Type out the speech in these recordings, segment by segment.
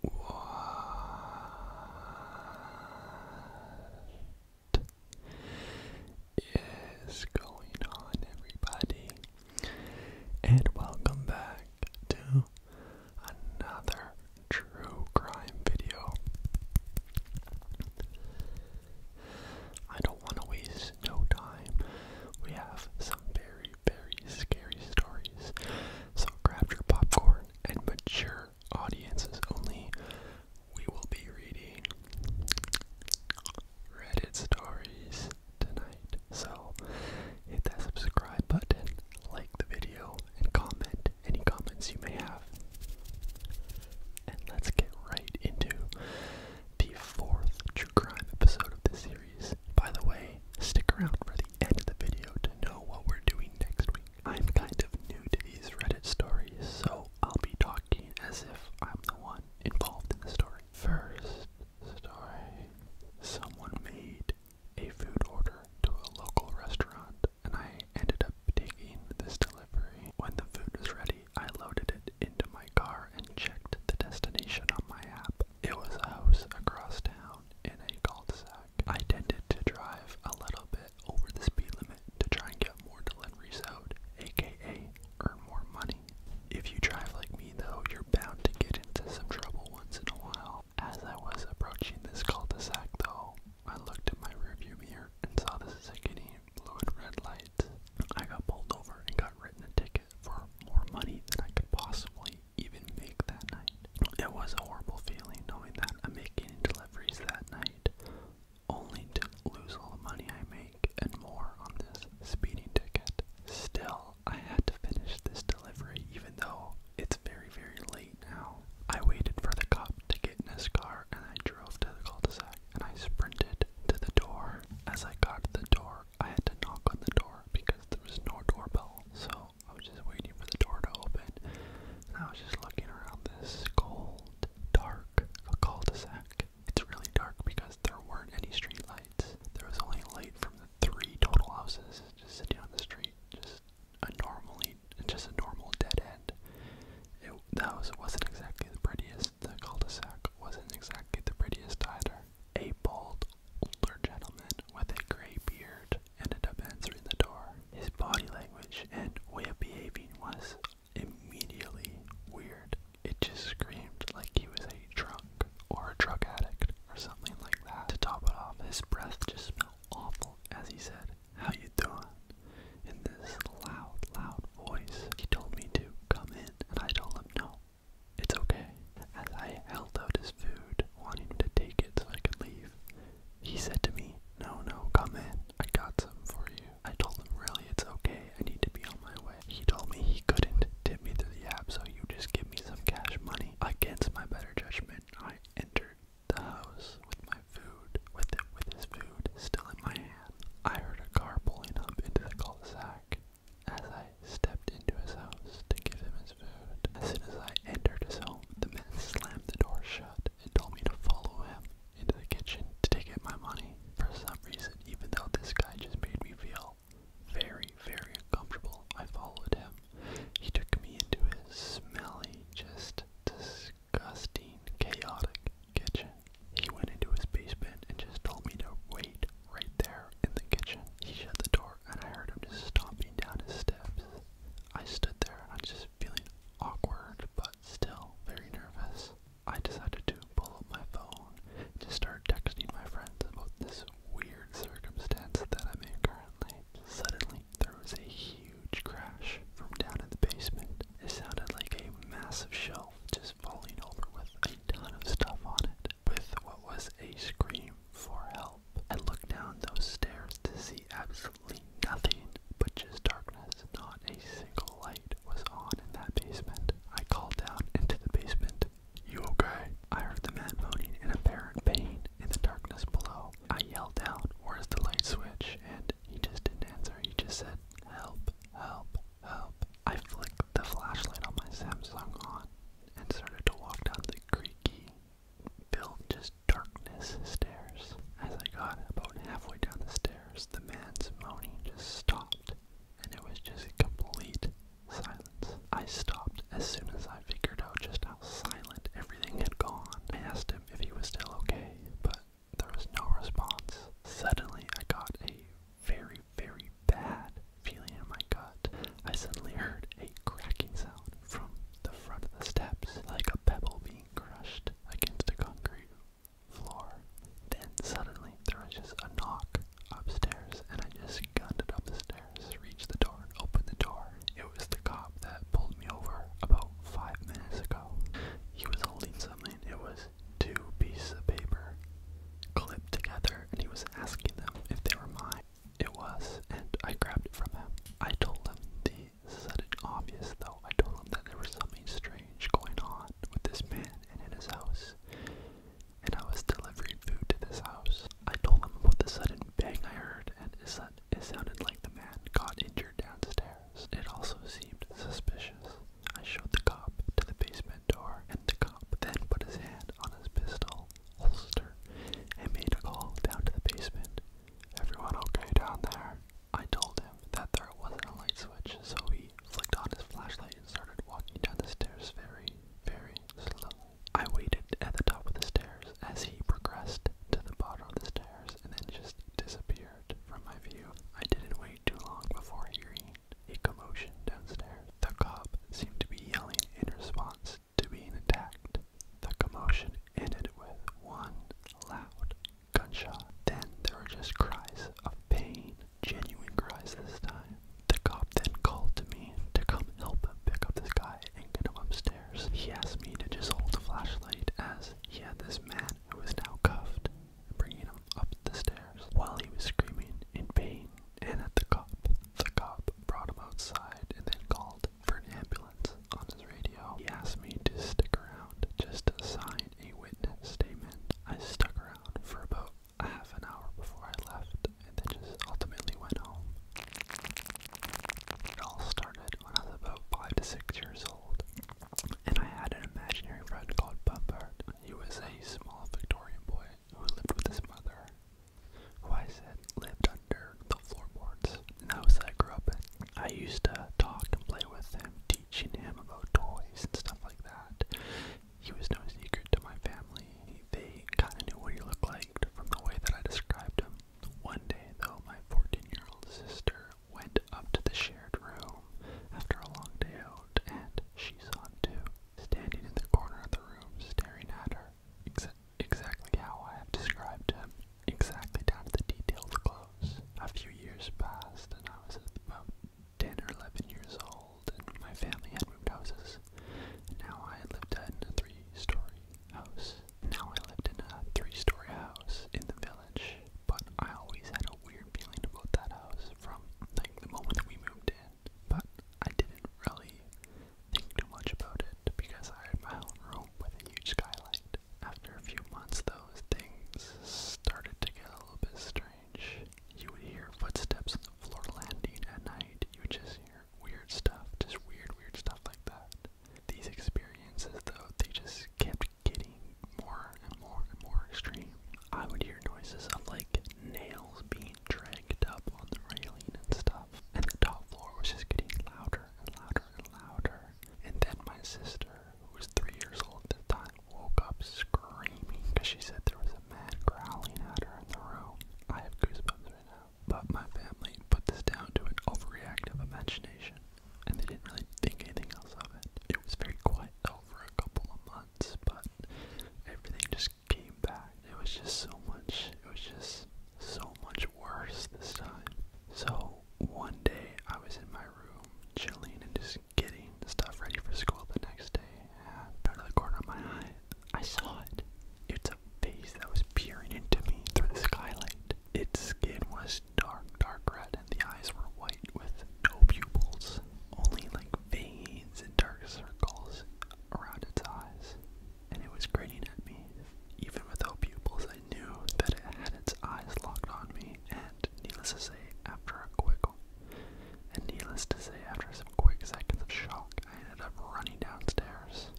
What is going on, everybody? And welcome back to another true crime video. I don't want to waste no time. We have some very, very scary stories. So grab your popcorn and mature audiences only. We will be reading Reddit stories tonight. So hit that subscribe button, like the video, and comment any comments you may have. And let's get right into the fourth true crime episode of this year. By the way, stick around for the end of the video to know what we're doing next week. I'm kind of new to these Reddit stories, so I'll be talking as if I'm the one involved in the story. First story someone made a food order to a local restaurant, and I ended up taking this delivery. When the food was ready, I loaded it into my car and checked the destination on my app. It was a house across town in a cul-de-sac. I tended to drive a little bit over the speed limit to try and get more deliveries out, aka earn more money. If you drive like me though, you're bound to get into some trouble once in a while. As I was approaching this cul-de-sac though, I looked in my rearview mirror and saw the sickening blue and red light. I got pulled over and got written a ticket for more money than I could possibly even make that night. It was a horrible feeling knowing that I'm making deliveries that night, only to lose all the money I make and more on this speeding ticket. Still, I had to finish this delivery even though it's very, very late now. I waited for the cop to get in his car and I drove to the cul-de-sac and I sprinted to the door. As I got to the door, I had to knock on the door because there was no doorbell, so I was just waiting for the door to open. And I was just looking around this cold, dark cul-de-sac. It's really dark because there weren't any street lights. There was only light from the three total houses just sitting on the street. Just a normally, just a normal dead end. It, the house wasn't exactly the prettiest. The cul-de-sac wasn't exactly the prettiest either. A bald older gentleman with a gray beard ended up answering the door. His body language and way of behaving was immediately weird. It just screamed like he was a drunk or a drug addict or something like that. To top it off, his breath just smelled awful as he said, How you doing? in this loud, loud voice. He told me to come in and I told him no. It's okay. As I held out his food, wanting to take it so I could leave, he said to me, No, no, come in. I got some for you. I told him, Really, it's okay. I need to be on my way. He told me he couldn't tip me through the app, so you just give me some cash money. Against my better judgment, I entered the house with my food, with it, with his food still in my hand. I heard a car pulling up into the cul-de-sac as I stepped into his house to give him his food. As soon as I entered his home, the man slammed the door shut and told me to follow him into the kitchen to take out my money. For some reason, even though this guy just made me feel very, very uncomfortable, I followed him. He took me into his smelly, just disgusting, chaotic kitchen. He went into his basement and just told me to wait right there in the kitchen. He shut the door and I heard him just stomping down his steps. I stood there and I'm just feeling awkward but still very nervous. I decided to pull up my phone to start texting my friends about this weird circumstance that I'm in currently. Suddenly, there was a huge crash from down in the basement. It sounded like a massive shelf just falling over with ton of stuff on it with what was a scream for help. I looked down those stairs to see absolutely nothing but just darkness. Not a single light was on in that basement. I called down into the basement, You okay? I heard the man moaning in apparent pain in the darkness below. I yelled out, Where's the light switch? And he just didn't answer. He just said, Help, help, I flicked the flashlight on my Samsung on and started to walk down the creaky, built just darkness stairs. As I got about halfway down the stairs, the man's moaning just stopped and it was just a complete silence. I stopped as soon as I figured out just how silent everything had gone. I asked him if he was still okay, but there was no response. Suddenly, I got a very very bad feeling in my gut. I suddenly heard a cracking sound from the front of the steps, like a pebble being crushed against the concrete floor. Then suddenly there was just a knock upstairs, and I just gunned it up the stairs, reached the door, and opened the door. It was the cop that pulled me over about five minutes ago. He was holding something. It was two pieces of paper clipped together and he was asking them if they were mine. It was, and I grabbed it from him. I told him the sudden obvious though. I told him that there was something strange going on with this man and in his house. And I was delivering food to this house. I told him about the sudden bang I heard, and it sounded like the man got injured downstairs. It also seemed suspicious. I showed the cop to the basement door, and the cop then put his hand on his pistol holster and made a call down to the basement. Everyone okay down there? I told him that there wasn't a light switch, so he flicked on his flashlight and started walking down the stairs very, very slowly. I waited at the top of the stairs as he progressed to the bottom of the stairs and then just disappeared from my view. I didn't wait too long before hearing a commotion downstairs. The cop seemed to be yelling in response to being attacked. The commotion ended with one loud gunshot. Then there were just cries of pain, genuine cries this time. The cop then called to me to come help him pick up the guy and get him upstairs. He asked me to just hold the flashlight as he had this man who was now cuffed and bringing him up the stairs while he was screaming in pain and at the cop. The cop brought him outside and then called for an ambulance on his radio. He asked me to stick around just to sign a witness statement. I stuck around for about a half an hour before I left and then just ultimately went home. It all started when I was about 5 to 6 years old. And I had an imaginary friend called Bumpert. He was a small Victorian boy who lived with his mother, who I said lived under the floorboards. And that was that I grew up in. I used to talk and play with him, teaching him about toys and stuff like that. He was no secret to my family. They kind of knew what he looked like from the way that I described him. One day, though, my 14 year old sister went up to the shared room after a long day out, and she saw him too, standing in the corner of the room, staring at her, ex exactly how I have described him, exactly down to the detailed clothes. A few years passed, and I was about 10 or 11 years old, and my family had moved houses. Now I lived in a three-story house. Now I lived in a three-story house in the village. But I always had a weird feeling about that house from like the moment that we moved in. But I didn't really think too much about it because I had my own room with a huge skylight. After a few months, those things started to get a little bit strange. You would hear footsteps on the floor landing at night. You would just hear weird stuff, just weird, weird stuff like that. These experiences, though, they just kept getting more and more and more extreme. I would hear noises of like nails being dragged up on the railing and stuff. And the top floor was just getting louder and louder and louder. And then my sister, who was three years old at the time, woke up screaming because she said there was a man growling at her in the room. I have goosebumps right now. But my family put this down to an overactive imagination and they didn't really think anything else of it. It was very quiet though for a couple of months, but everything just came back. It was just so much, it was just so much worse this time. So one day I was in my room chilling and just getting stuff ready for school the next day. out of the corner of my eye, I saw it. It's a face that was peering into me through the skylight. Its skin was dark, dark red, and the eyes were white with no pupils, only like veins and dark circles around its eyes. And it was grinning at me. Even without pupils, I knew that it had its eyes locked on me, and needless to say, after a quick and needless to say, after some quick seconds of shock, I ended up running downstairs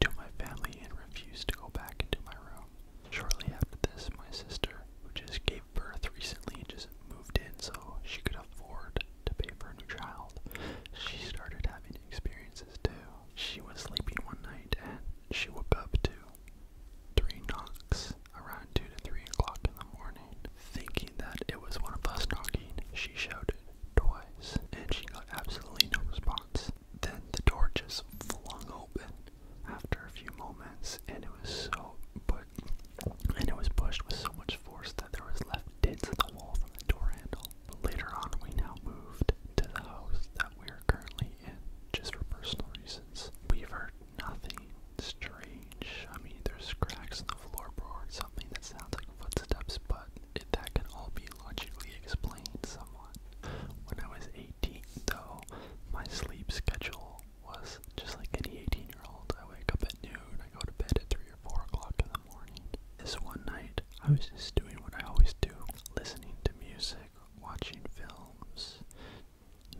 to, my family and refused to go back into my room. Shortly after this, my sister, who just gave birth recently and just moved in so she could afford to pay for a new child, she started having experiences too. She was sleeping one night and she woke up to three knocks around 2 to 3 o'clock in the morning. Thinking that it was one of us knocking, she shouted twice and she got absolutely no response. Then the door just flung open after a few moments, and it was so, but, and it was pushed with so much force that there was left dents in the wall from the door handle. later on, we now moved to the house that we are currently in, just for personal reasons. We've heard nothing strange. I mean, there's cracks in the floorboard, something that sounds like footsteps, but that can all be logically explained somewhat. When I was 18, though, my sleep schedule was just like any 18 year old. I wake up at noon, I go to bed at 3 or 4 o'clock in the morning. This one night, I was just doing what I always do listening to music, watching films,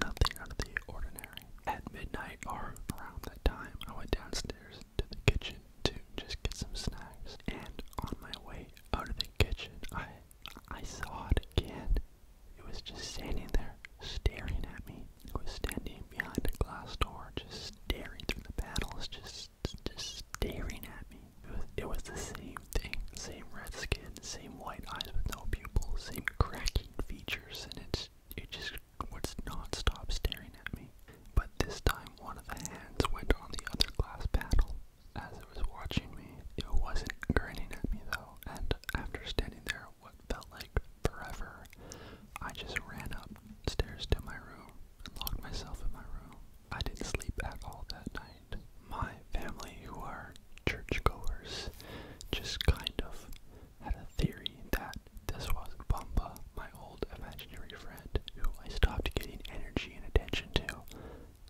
nothing out of the ordinary. At midnight or around that time, I went downstairs to the kitchen to just get some snacks. And on my way out of the kitchen, I I saw it again. It was just standing there, staring at me. It was standing behind a glass door, just staring through the panels, just just staring at me. It was, it was the same thing, same red skin, same white eyes with no pupils, same cracking features, and it's it just would not stop staring at me. But this time one of the hands went on the other glass paddle. As it was watching me, it wasn't grinning at me though, and after standing there what felt like forever, I just ran up stairs to my room and locked myself in my room. I didn't sleep at all that night. My family, who are churchgoers, just kind of had a theory that this was not Bamba, my old old imaginary friend who I stopped getting energy and attention to,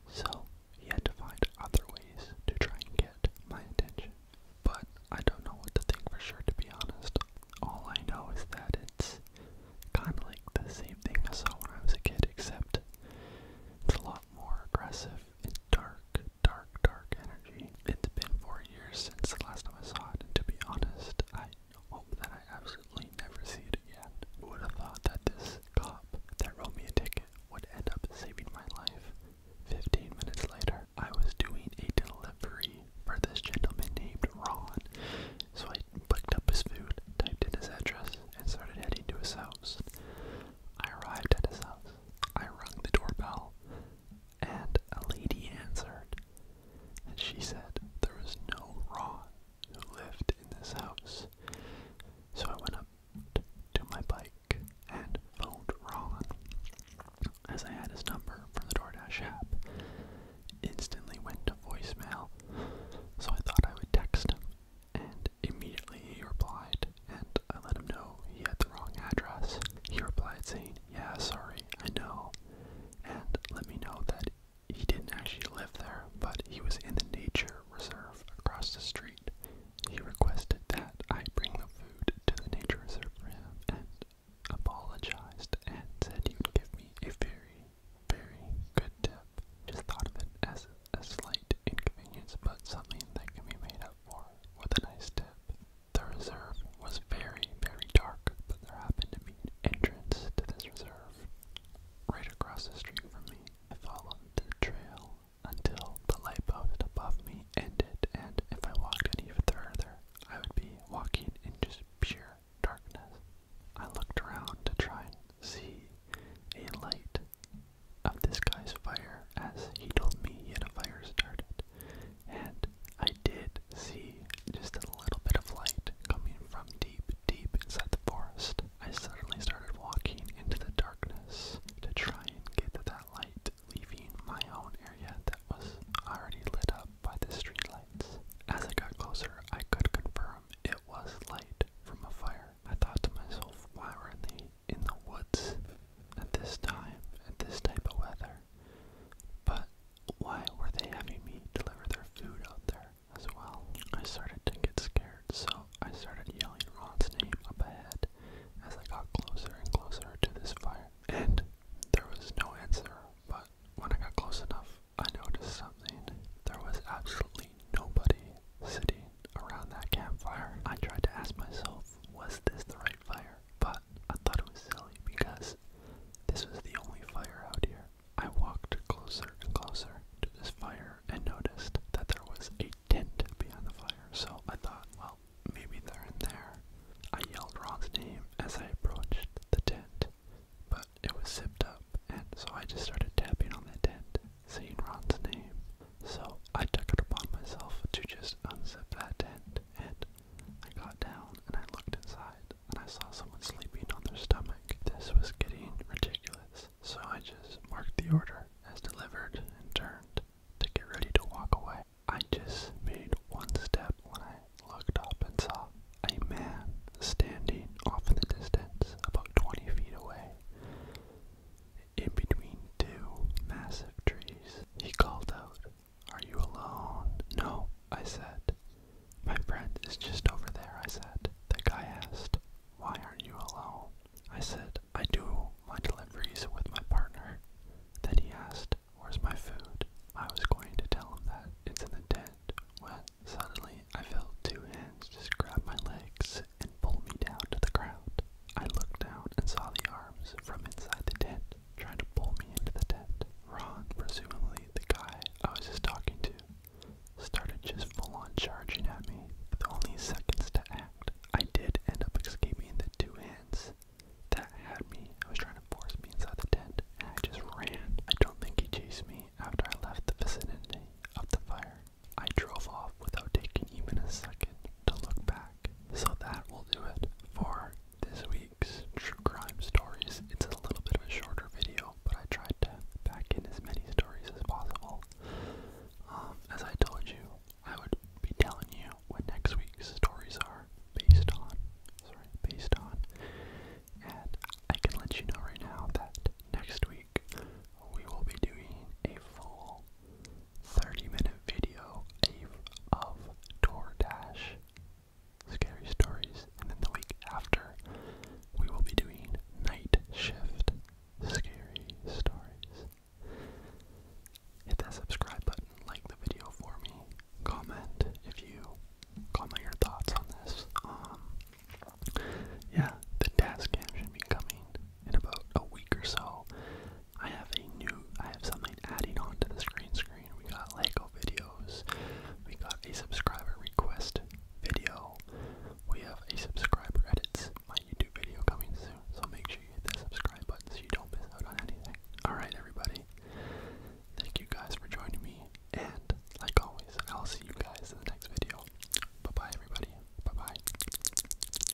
so he had to find other ways to try and get my attention. But I don't know what to think for sure, to be honest. All I know is that it's kind of like the same thing I saw when I was a kid, except it's a lot more aggressive and dark, dark, dark energy. It's been four years since the last time I saw it, and to be honest, I hope that I absolutely never see it again. Who would have thought that this cop that wrote me a ticket would end up saving my life? Fifteen minutes later, I was doing a delivery for this gentleman named Ron, so I picked up his food, typed in his address, and started heading to his house. I arrived at his house. I rang the doorbell, and a lady answered. And she said there was no Raw who lived in this house. So I went up to my bike and phoned Ron. As I had his number from the DoorDash app, instantly went to voicemail, so I thought I would text him, and immediately he replied, and I let him know he had the wrong address. He replied saying, yeah, sorry, I know, and let me know that he didn't actually live there, but he was in the nature reserve across the street. He requested that I bring the food to the nature reserve for him and apologized and said he would give me a very, very good tip. Just thought of it as a slight inconvenience, but something that can be made up for with a nice tip. The reserve was very, very dark, but there happened to be an entrance to this reserve right across the street from me. I followed the trail until the light post above me ended, and if I walked any further, I would be walking in just pure darkness. I looked around to try and see a light of this guy's fire, as he told me yet a fire started, and I did see just a little bit of light coming from deep, deep inside the forest. I suddenly started walking into the darkness to try and get to that light, leaving my own area that was already lit up by the streetlights. As I got closer, I could confirm it was light from a fire. I thought to myself, why were they in the woods at this time, at this type of weather? But why were they having me deliver their food out there as well? I started to get scared, so I started yelling Ron's name up ahead as I got closer and closer to this fire. And there was no answer, but when I got close enough, I noticed something. There was absolutely nobody sitting around that campfire. I tried to ask myself, was this the right Fire, but I thought it was silly because this was the only fire out here. I walked closer and closer to this fire and noticed that there was a tent behind the fire, so I thought, well, maybe they're in there. I yelled Ron's name as I approached the tent, but it was zipped up, and so I just started tapping on the tent, saying Ron's name. So I took it upon myself to just unzip that tent, and I got down and I looked inside and I saw someone sleeping on their stomach. This was getting ridiculous, so I just marked the order as delivered and turned to get ready to walk away. I just made one step when I looked up and saw a man standing off in the distance about 20 feet away in between two massive trees. He called out, are you alone? No, I said. My friend is just over there, I said. The guy asked, Why aren't you alone? I said, I do my deliveries with my partner. Then he asked, Where's my food? I was going to tell him that it's in the tent when suddenly I felt two hands just grab my legs and pull me down to the ground. I looked down and saw the arms from inside the tent trying to pull me into the tent. Ron, presumably the guy I was just talking to, started just full on charging at me with only seconds to act. I did end up escaping the two hands that had me. I was trying to force me inside the tent, and I just ran. I don't think he chased me after I left the vicinity of the fire. I drove off without taking even a second to look back. So that will do it for this week's True Crime Stories. It's a little bit of a shorter video, but I tried to pack in as many stories as possible. Um, as I told you, I would be telling you what next week's stories are based on. Sorry, based on. And I can let you know right now that next week we will be doing a full 30-minute video of Door Dash scary stories, and then the week after, we will be doing Night Shift scary stories. Hit that subscribe button, like the video for me, comment if you comment your thoughts on this. Um, yeah, the task cam should be coming in about a week or so, I have a new, I have something adding on to this screen. We got Lego videos, we got a subscriber request video, we have a subscriber edits, my YouTube video coming soon, so make sure you hit that subscribe button so you don't miss out on anything. Alright everybody, thank you guys for joining me, and like always, I'll see you guys in the next video. Bye bye everybody, bye bye.